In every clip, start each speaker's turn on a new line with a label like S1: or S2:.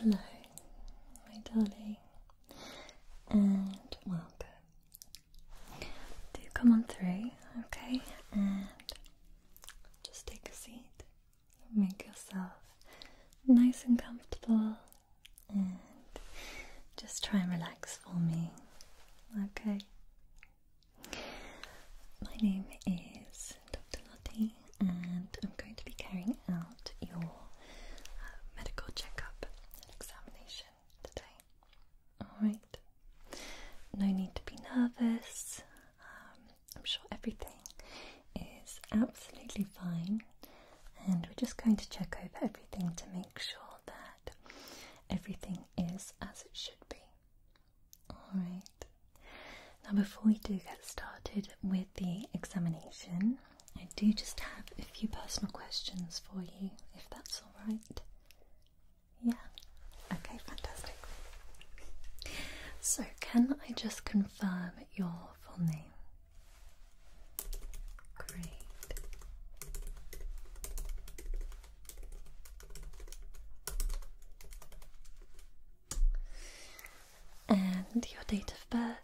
S1: Hello, my darling, and welcome. Do come on through, okay? And just take a seat, make yourself nice and comfortable, and just try and relax for me, okay? My name is Dr. Lottie, and I'm going to be carrying out your uh, medical checkup and examination today. Alright, no need to be nervous. Um, I'm sure everything is absolutely fine, and we're just going to check over everything to make sure that everything is as it should be. Alright. Now, before we do get started with the examination, I do just have a few personal questions for you, if that's alright. Yeah? Okay, fantastic. So, can I just confirm your full name? Great and your date of birth.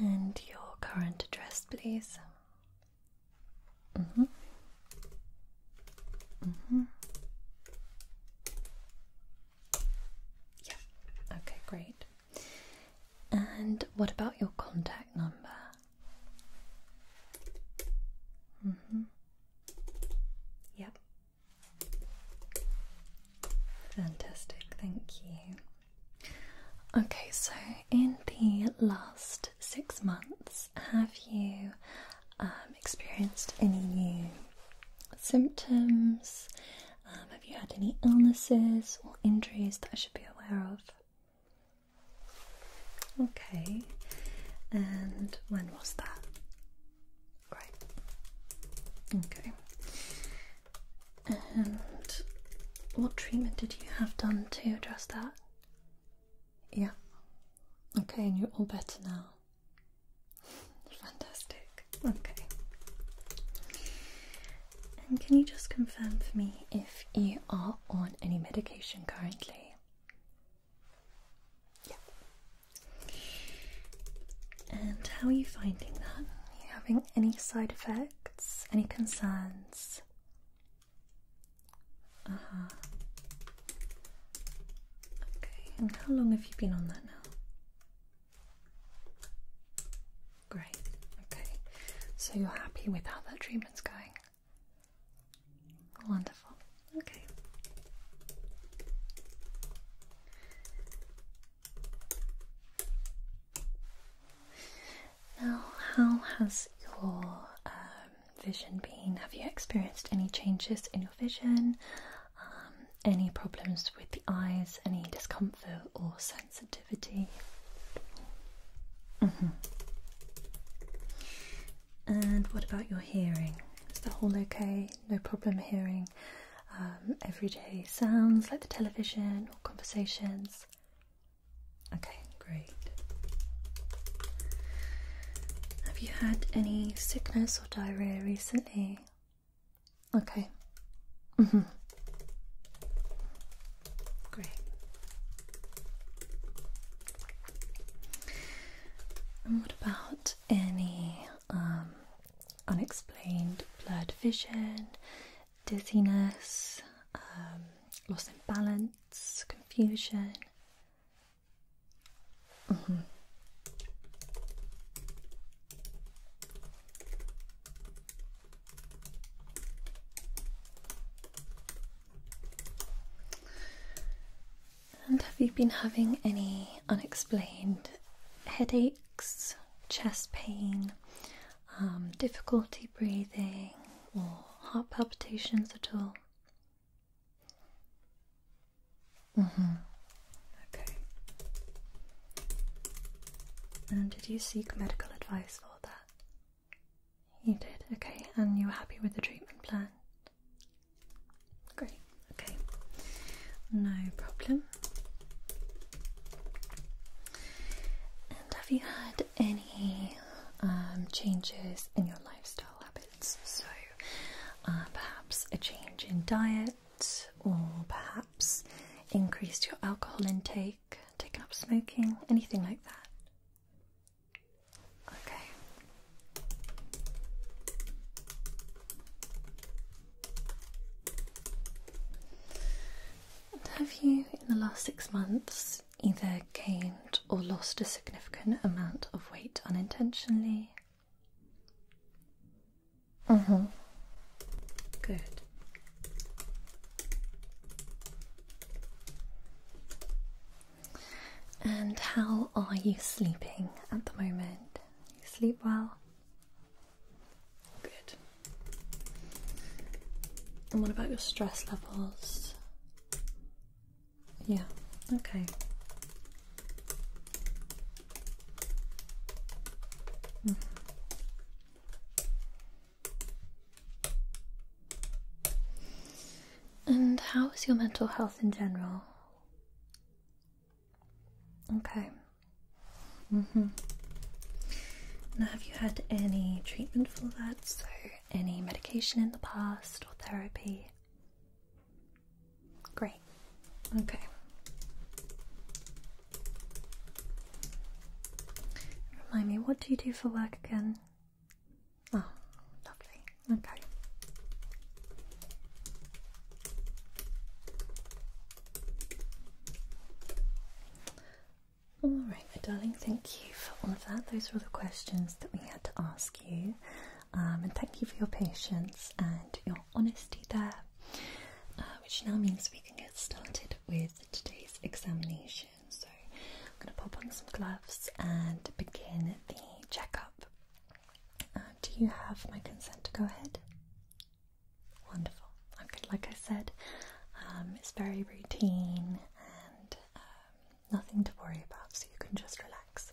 S1: And your current address, please. Mm hmm. Mm hmm. Yeah, okay, great. And what about your contact number? Mm-hmm. Yep. Fantastic, thank you. Okay, so in the last six months, have you um, experienced any new symptoms? Um, have you had any illnesses or injuries that I should be aware of? Okay, and when was that? Right. Okay. And what treatment did you have done to address that? Yeah. Okay, and you're all better now. Fantastic. Okay. And can you just confirm for me if you are on any medication currently? Yeah. And how are you finding that? Are you having any side effects? Any concerns? Uh huh. Okay, and how long have you been on that now? Great. Okay. So you're happy with how that treatment's going? Wonderful. Okay. Now, how has your um, vision been? Have you experienced any changes in your vision? Um, any problems with the eyes? Any discomfort or sensitivity. Mm-hmm. And what about your hearing? Is the whole okay? No problem hearing um, everyday sounds like the television or conversations? Okay, great. Have you had any sickness or diarrhea recently? Okay. Mm -hmm. Great. what about any um, unexplained blurred vision, dizziness, um, loss in balance, confusion? Mm-hmm. And have you been having any unexplained headaches, chest pain, um, difficulty breathing, or heart palpitations at all? Mm-hmm. Okay. And did you seek medical advice for that? You did, okay, and you were happy with the treatment plan? Great, okay, no problem. And have you had any um, changes in your lifestyle habits? So uh, perhaps a change in diet, or perhaps increased your alcohol intake, taken up smoking, anything like that? Okay. have you, in the last six months, either gained or lost a significant amount of weight unintentionally? Mm hmm. Good. And how are you sleeping at the moment? You sleep well? Good. And what about your stress levels? Yeah, okay. Mm-hmm. And how is your mental health in general? Okay. Mm-hmm. Now, have you had any treatment for that? So, any medication in the past or therapy? Great. Okay. Remind me, what do you do for work again? Oh, lovely. Okay. All right, my darling, thank you for all of that. Those were all the questions that we had to ask you. Um, and thank you for your patience and your honesty there, uh, which now means we can get started with today's examination. So I'm going to pop on some gloves and begin the checkup. Uh, do you have my consent to go ahead? Wonderful. Okay, like I said, um, it's very routine and um, nothing to worry about, so you can just relax.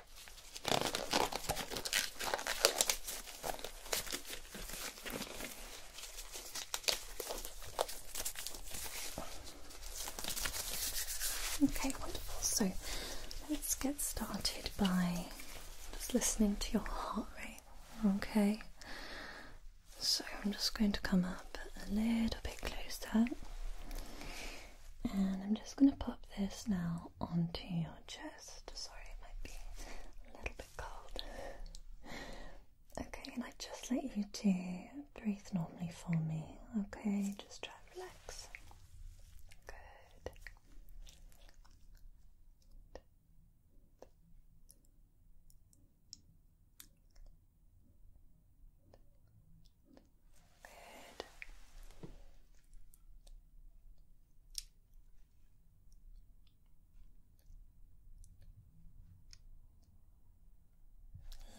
S1: Okay, wonderful. So let's get started by just listening to your heart rate. Okay, so I'm just going to come up a little bit closer and I'm just going to pop this now onto your chest. Sorry, it might be a little bit cold. Okay, and I just let you to breathe normally for me. Okay, just try and relax. Good. Good.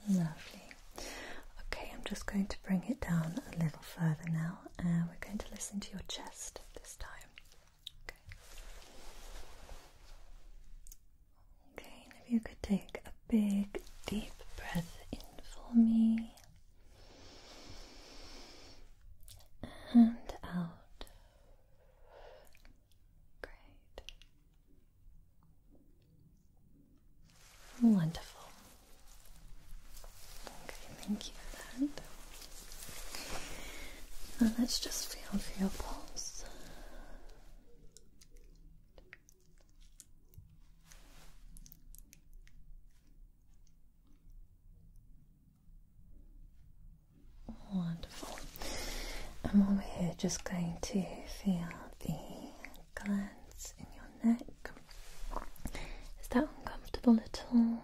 S1: Lovely. Okay, I'm just going to bring it down a little further now, and we're going to listen to your chest this time. Okay. Okay, if you could take a big deep breath in for me and out. Great. Wonderful. Okay, thank you for that. Now let's just feel for your pulse. Wonderful. And while we're here, just going to feel the glands in your neck. Is that uncomfortable at all?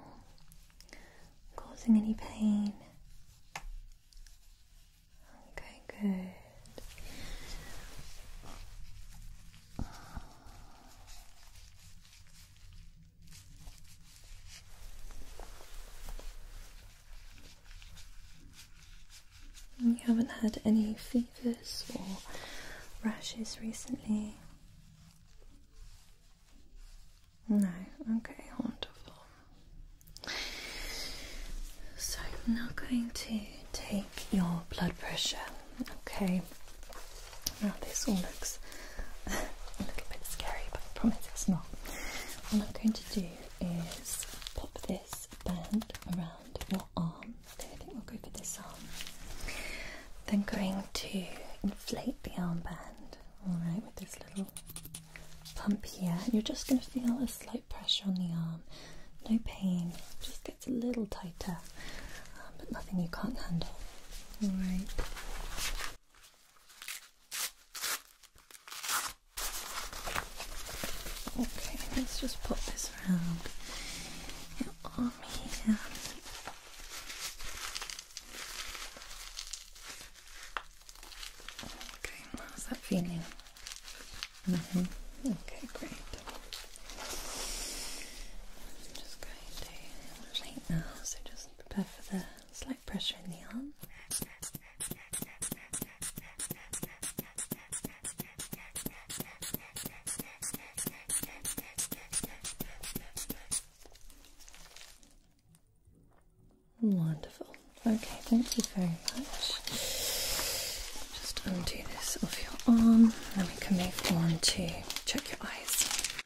S1: Causing any pain? Okay, good. You haven't had any fevers or rashes recently? No, okay, wonderful. So I'm now going to take your blood pressure Okay. Now this all looks a little bit scary, but I promise it's not. All I'm going to do is pop this band around your arm. I think we'll go for this arm. Then going to inflate the arm band, alright, with this little pump here. You're just going to feel a slight pressure on the arm. No pain, just gets a little tighter but nothing you can't handle. All right. Okay, let's just pop this around your arm here. Okay, how's that feeling? Mm -hmm. Okay, great. just go so just prepare for the slight pressure in the arm. Wonderful. Okay, thank you very much. Just undo this off your arm, then we can move on to check your eyes.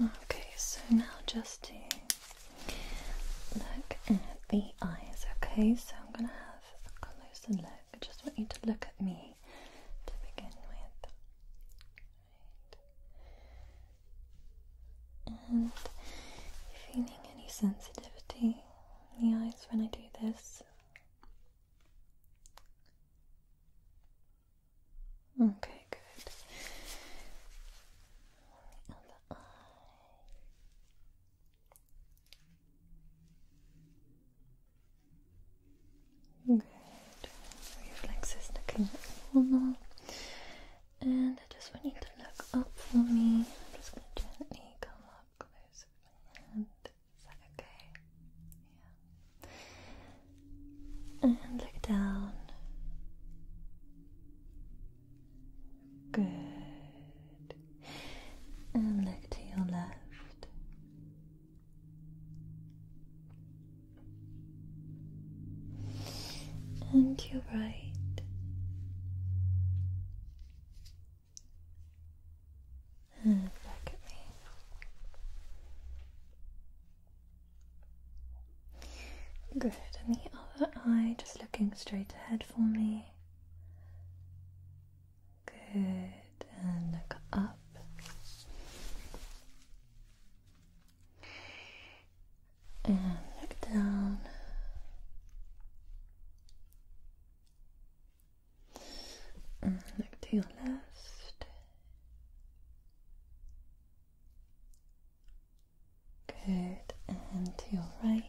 S1: Okay, so now just to look at the eyes, okay? So I'm gonna have a closer look. I just want you to look at me to begin with feeling any sensitivity in the eyes when I do this? Okay, good. Good. Reflexes looking normal. And I just want you to look up for me. I'm just going to gently come up close with my hand. Is that okay? Yeah. And look down. Good. And look to your left and your right. And back at me. Good, and the other eye just looking straight ahead for me. Good, and look up and look down. And look to your left. Good. And to your right.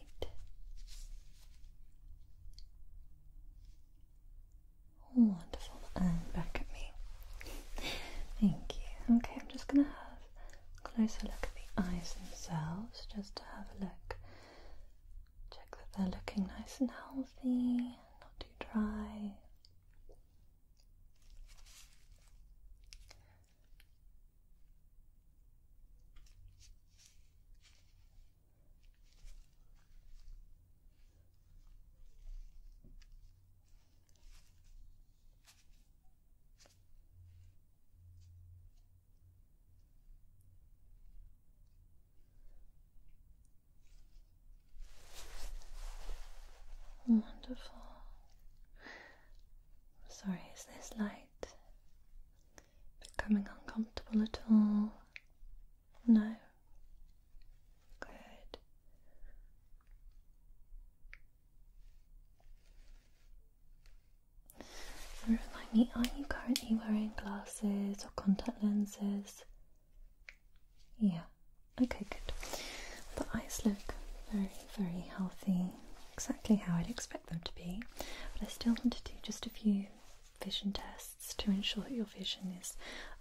S1: Wonderful. And back at me. Thank you. Okay, I'm just going to have closer look at the eyes themselves, just to have a look. Check that they're looking nice and healthy, not too dry. Wonderful. Sorry, is this light becoming uncomfortable at all? No. Good remind me, are you currently wearing glasses or contact lenses? Yeah, okay, good. The eyes look very, very healthy, exactly how I'd expect them to be, but I still want to do just a few vision tests to ensure that your vision is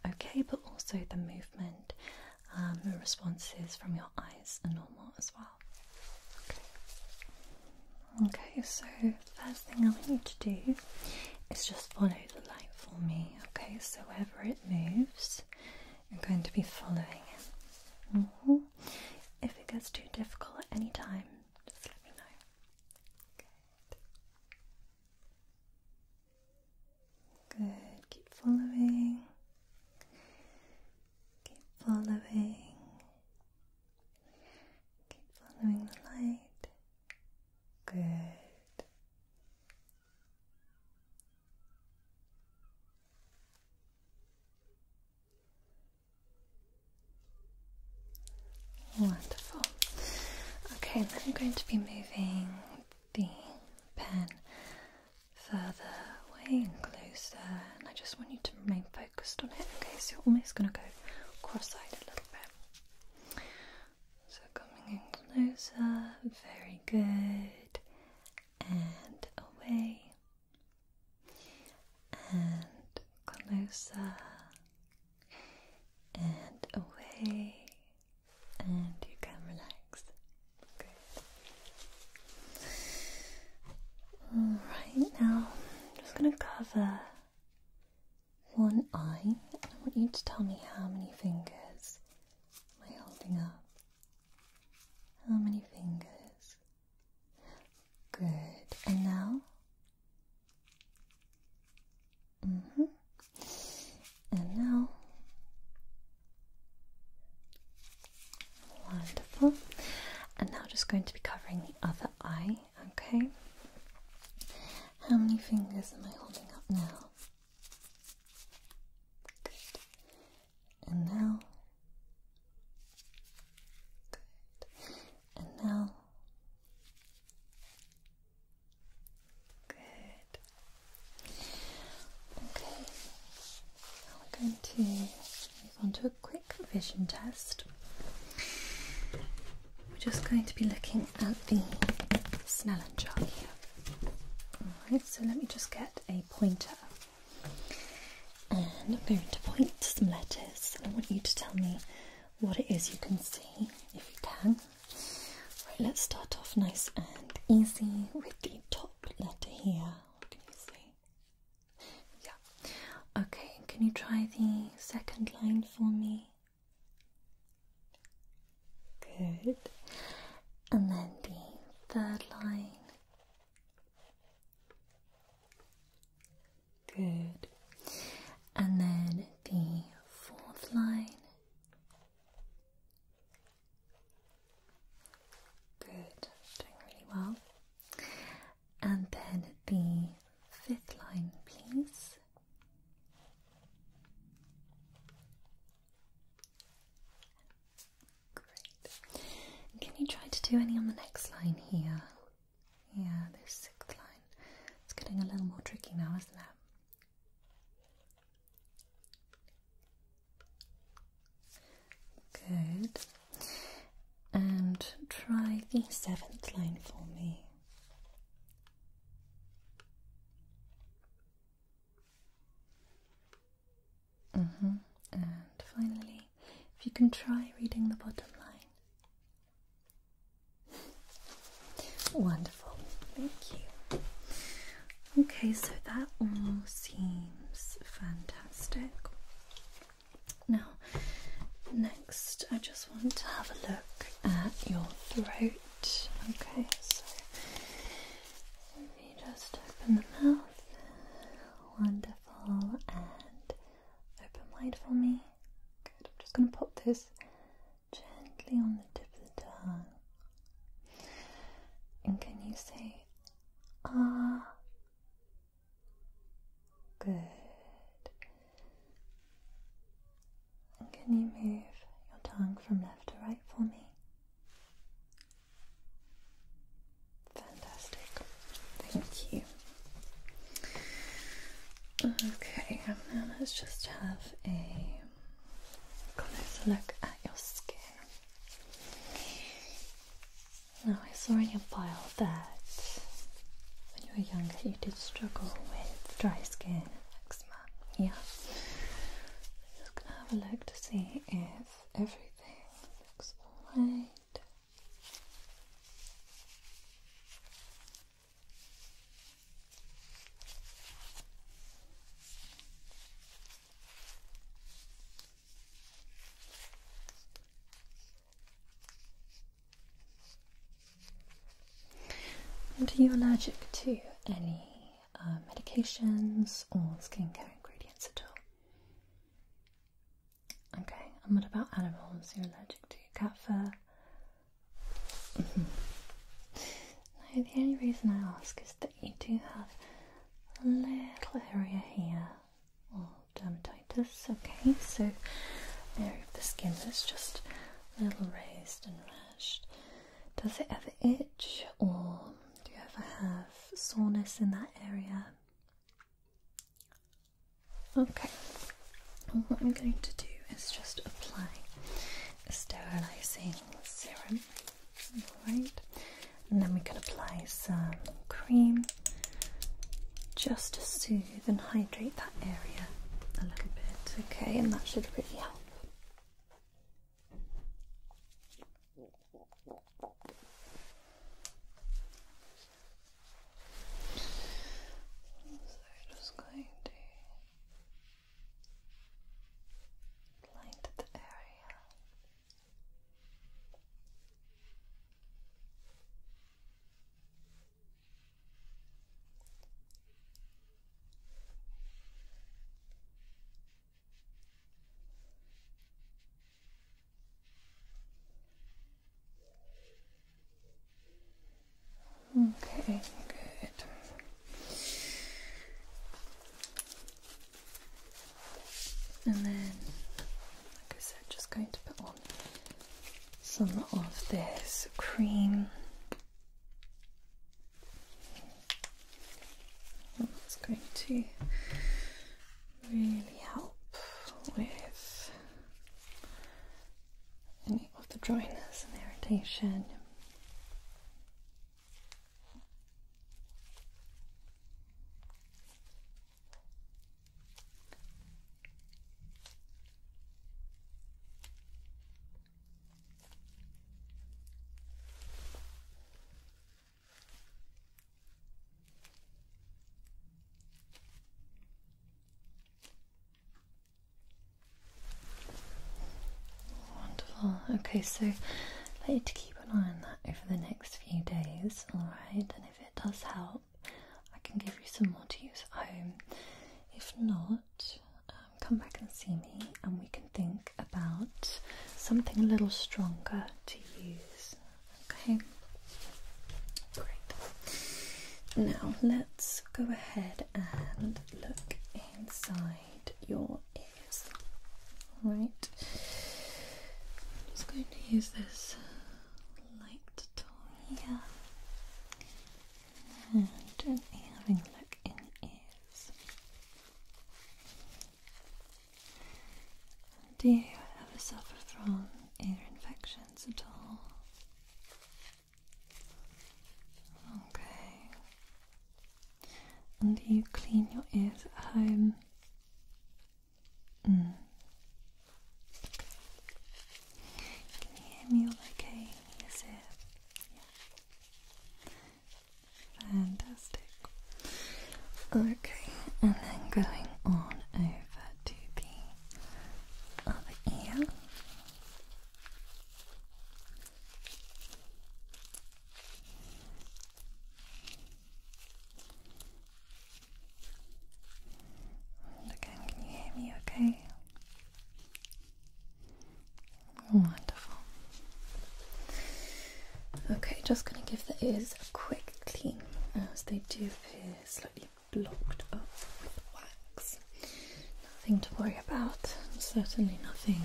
S1: okay, but also the movement um, and responses from your eyes eyes are normal as well. Okay. so first thing I want you to do is just follow the light for me. Okay, so wherever it moves, you're going to be following it. Mm-hmm. If it gets too difficult at any time, just let me know. Good. Good, keep following. Keep following. Keep following the light. Good. Wonderful. Okay, then I'm going to be moving the pen further away and closer, and I just want you to remain focused on it. Okay, so you're almost going to go cross-eyed a little bit. So coming in closer, very good, and away, and closer, and away, and you can relax. Okay. Alright, now I'm just going to cover one eye. I want you to tell me how many fingers am I holding up. How many fingers? Good. And now? Mm hmm. And now? Wonderful. And now just going to be covering the other eye, okay? How many fingers am I holding up now? And now. Good. And now. Good. Okay. Now we're going to move on to a quick vision test. We're just going to be looking at the Snellen chart here. Alright, so let me just get a pointer. And I'm going to point to some letters. and I want you to tell me what it is you can see, if you can. Right, let's start off nice and easy with the top letter here. What can you see? Yeah. Okay, can you try the second line for me? Good. And then the third line. Good. And then the fourth line. Good. Doing really well and then the fifth line, please. Great. can you try to do any on the next line here? Yeah, the sixth line. It's getting a little more tricky now, isn't it? Good. And try the seventh line for me. Mm-hmm. And finally, if you can try reading the bottom line. Wonderful. Thank you. Okay, so that all seems fantastic. Now, next, I just want to have a look at your throat. Okay, so if you just open the mouth, wonderful, and open wide for me. Good, I'm just going to pop this gently on the tip of the tongue. And can you say ah Good. And can you move your tongue from left to right for me? Fantastic. Thank you. Okay, now let's just have a closer look at your skin. Now, I saw in your file that when you were younger you did struggle with dry skin and eczema. Yeah. I'm just gonna have a look to see if everything looks alright. And are you allergic to any uh, medications or skincare ingredients at all? Okay, and what about animals? You're allergic to cat fur? Mm-hmm. no, the only reason I ask is that you do have a little area here, dermatitis. Okay, so the skin is just a little raised and rashed. Does it ever itch or do you ever have soreness in that area? Okay, what I'm going to do is just apply a sterilizing serum, alright, and then we can apply some cream just to soothe and hydrate that area a little bit, okay, and that should really help. So just going to light the area. Okay, good. And then, like I said, just going to put some of this cream. That's going to really help with any of the dryness and irritation. Wonderful. Okay, so i need to keep an eye on that over the next few days, alright? And if it does help, I can give you some more to use at home. If not, um, come back and see me, and we can think about something a little stronger to use. Okay, great. Now let's go ahead and look inside your ears. All right, I'm just going to use this light tool here and an earring look in ears. Do you ever suffer from ear infections at all? Okay. And do you clean your ears at home? Can you hear me all okay? Yes, Fantastic. Okay, and then going on over to the other ear again, can you hear me okay? Wonderful. Okay, just going to give the ears a quick clean as they do appear slightly blocked up with wax. Nothing to worry about, certainly nothing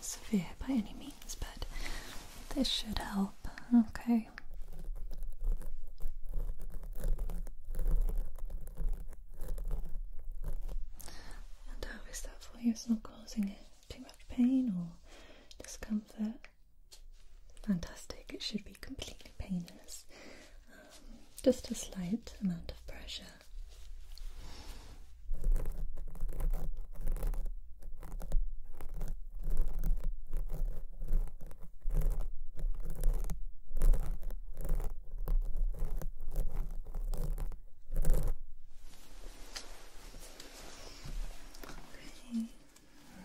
S1: severe by any means, but this should help. Okay. And how is that for you? It's not causing too much pain or discomfort? Fantastic, it should be completely painless. Um, just a slight amount of pressure.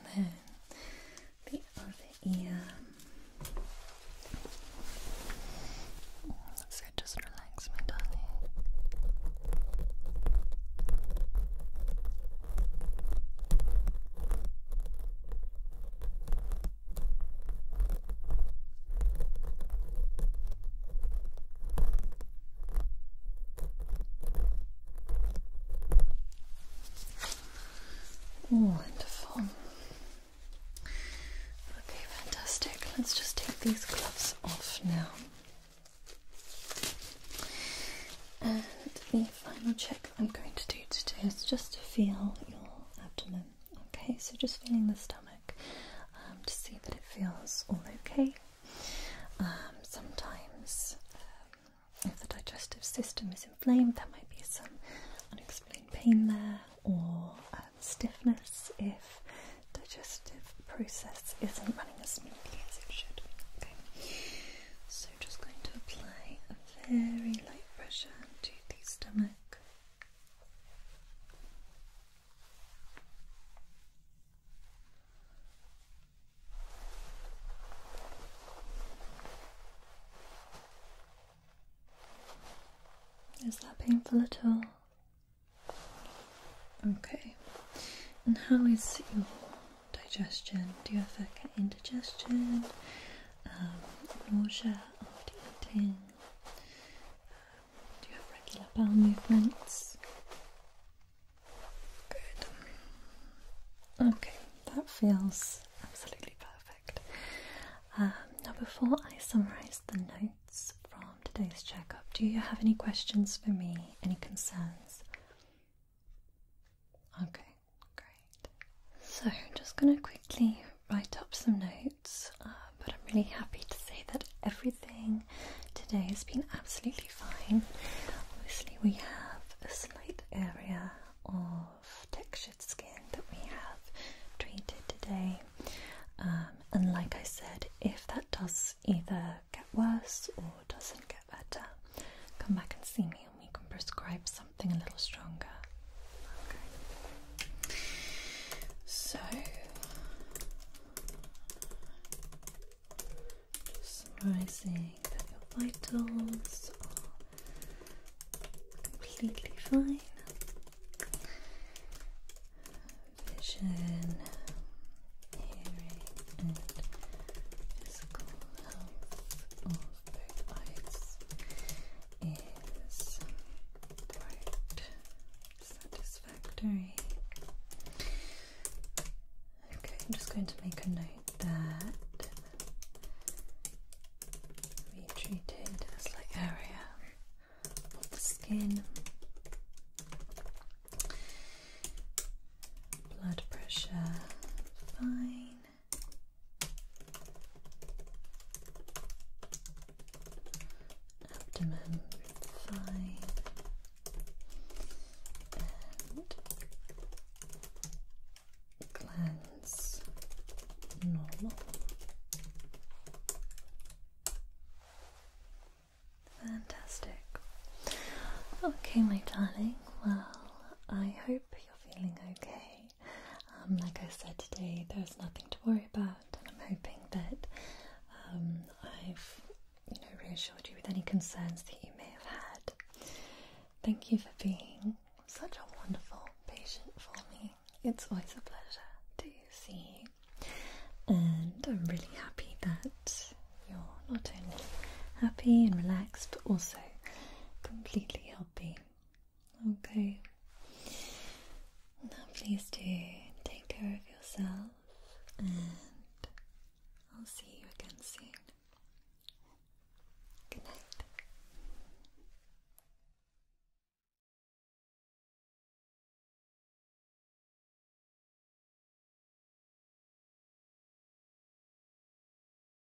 S1: Okay. Then the other ear. So just relax, my darling. Wonderful. Okay, fantastic. Let's just take these gloves off now. And final check I'm going to do today is just to feel your abdomen. Okay, so just feeling the stomach um, to see that it feels all okay. Um, sometimes, um, if the digestive system is inflamed, there might be some unexplained pain there or stiffness if digestive process isn't running as smoothly as it should. Okay, so just going to apply very light pressure to the stomach. Is that painful at all? Okay. And how is your digestion? Do you have like indigestion, um, nausea after eating? do you have regular bowel movements? Good. Okay, that feels absolutely perfect. Um, now, before I summarise the notes from today's checkup, do you have any questions for me? Any concerns? Okay, great. So I'm just going to quickly write up some notes, uh, but I'm really happy to say that everything today has been absolutely fine. Obviously, we have a slight area of textured skin that we have treated today. Um, and like I said, if that does either get worse or doesn't get better, uh, come back and see me, and we can prescribe something a little stronger. Okay. So, just summarising your vitals completely fine. Vision, hearing, and physical health is quite satisfactory. Okay, I'm just going to make a note that we treated area of the skin. Blood pressure fine abdomen fine and glands normal. Fantastic. Okay, my darling. Well, I hope you're feeling okay. Um, like I said today, there's nothing to worry about, and I'm hoping that um, I've you know reassured you with any concerns that you may have had. Thank you for being such a wonderful patient for me. It's always a pleasure to see you, and I'm really happy that you're not only happy and relaxed, but also completely healthy Okay. Now, please do take care of yourself, and I'll see you again soon. Good night.